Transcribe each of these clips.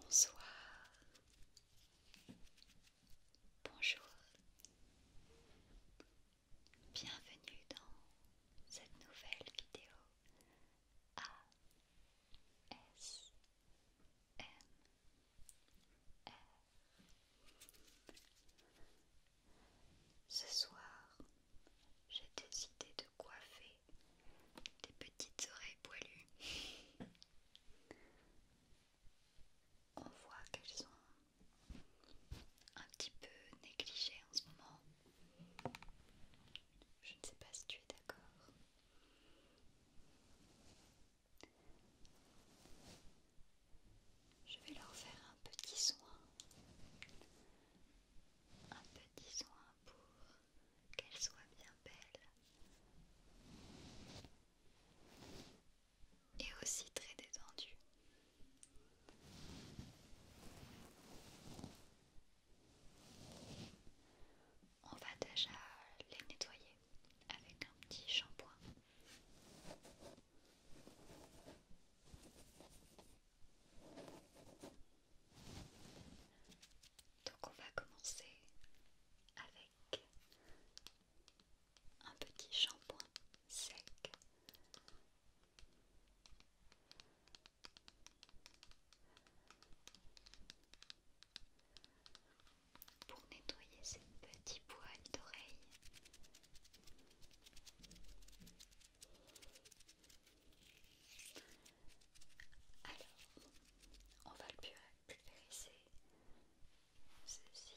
Bonsoir. Bonjour. Bienvenue dans cette nouvelle vidéo à S M R. Ce soir, j'ai décidé de coiffer des petites oreilles poilues. On voit qu'elles sont un petit peu négligées en ce moment. Je ne sais pas si tu es d'accord. Je vais leur faire un petit soin, un petit soin pour qu'elles soient bien belles et aussi très détendues. On va déjà les nettoyer avec un petit shampoing. Donc on va commencer avec un petit shampoing sec pour nettoyer ces petits poils d'oreille. Alors, on va le pulvériser. Ceci.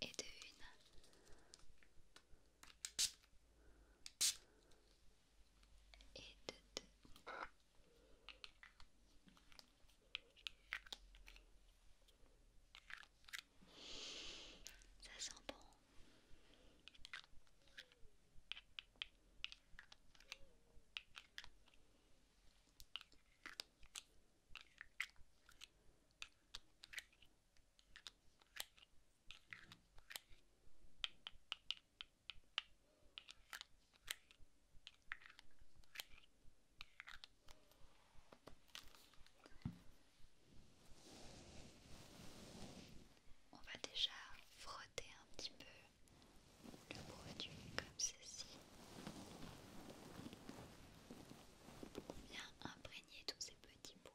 et de une. Et de deux. Ça sent bon. On va déjà frotter un petit peu le produit est comme ceci pour bien imprégner tous ces petits poils.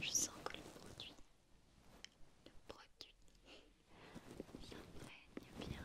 Je sens que le produit, le produit s'imprègne bien.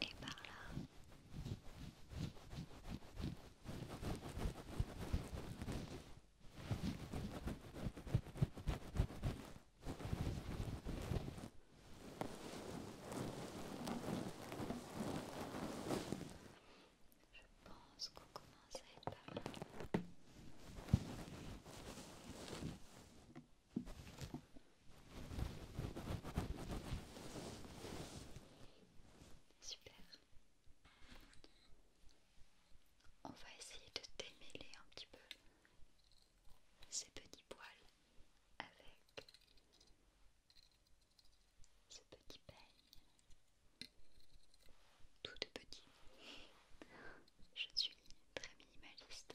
et par là. Je pense qu'on commence à être Super. On va essayer de démêler un petit peu ces petits poils avec ce petit peigne. Tout de petit je suis très minimaliste.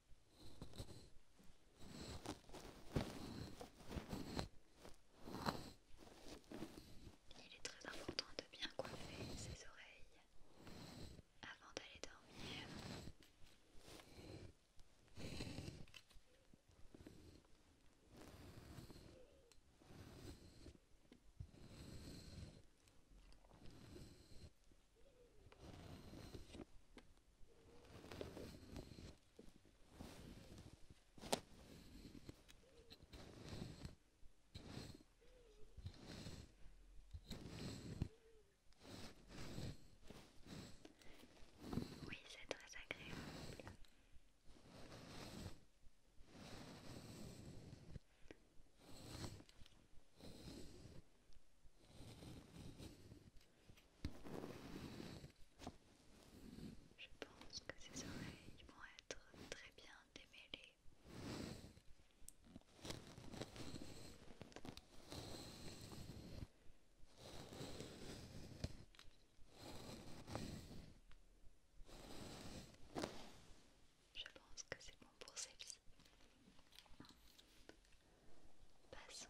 Il est très important de bien coiffer ses oreilles avant d'aller dormir. Oui, c'est très agréable. Je pense que ces oreilles vont être très bien démêlées. Je pense que c'est bon pour celle-ci. Passons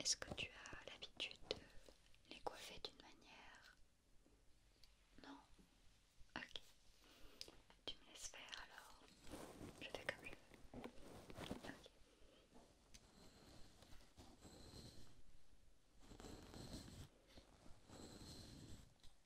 Est-ce que tu as l'habitude de les coiffer d'une manière Non Ok. Tu me laisses faire alors. Je fais comme je veux.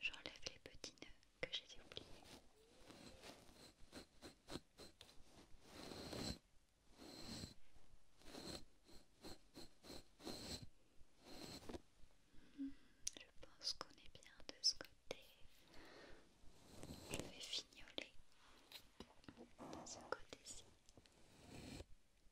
J'enlève les petits nœuds que j'ai oubliés. Hmm, je pense qu'on est bien de ce côté. Je vais fignoler ce côté-ci.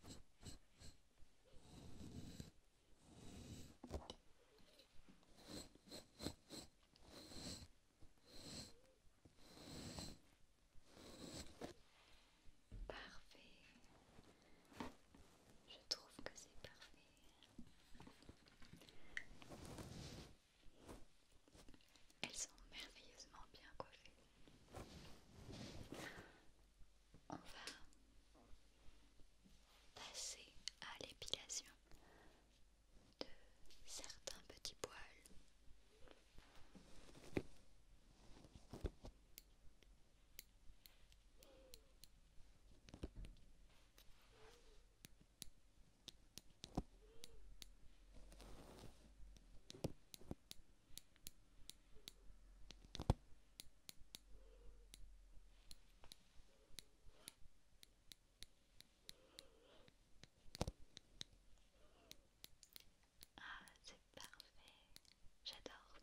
Parfait. Je trouve que c'est parfait. Elles sont merveilleusement bien coiffées. On va passer à l'épilation de certains petits poils. Ah, c'est parfait, j'adore.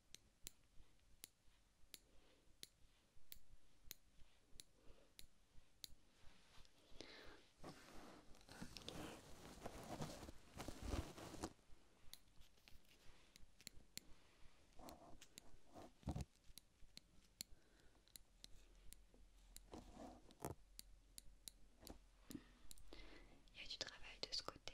Il y a du travail de ce côté.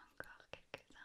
Encore quelques-uns.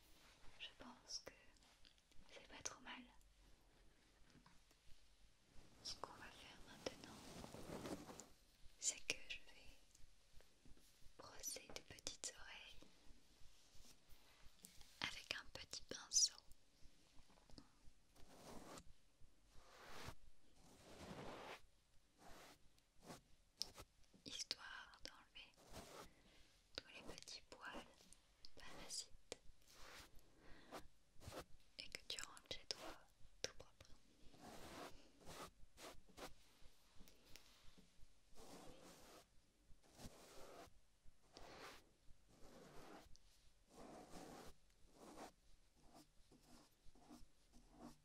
je pense que c'est pas trop mal. Ce qu'on va faire maintenant, c'est que je vais brosser des petites oreilles avec un petit pinceau histoire d'enlever tous les petits poils parasites et que tu rentres chez toi tout propre.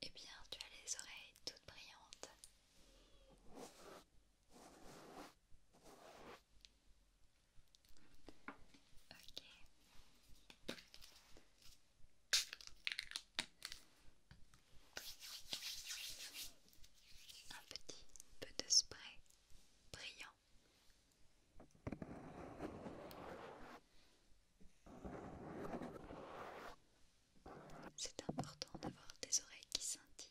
Eh bien, tu as les oreilles toutes brillantes. Un petit peu de spray brillant. C'est important d'avoir des oreilles qui scintillent.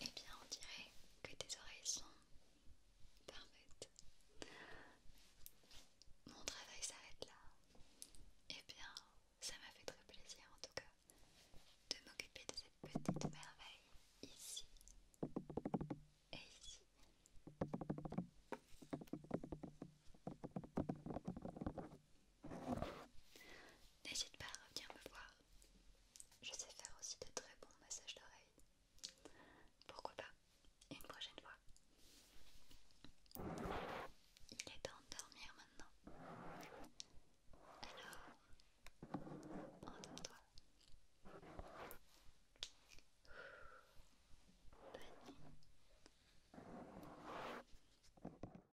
Et eh bien, on dirait que tes oreilles sont parfaites. Mon travail s'arrête là. Et eh bien, ça m'a fait très plaisir en tout cas de m'occuper de cette petite merveille ici et ici. N'hésite pas à revenir me voir. Je sais faire aussi de très bons massages d'oreilles. Pourquoi pas une prochaine fois Il est temps de dormir maintenant. Alors, entends toi Bonne nuit.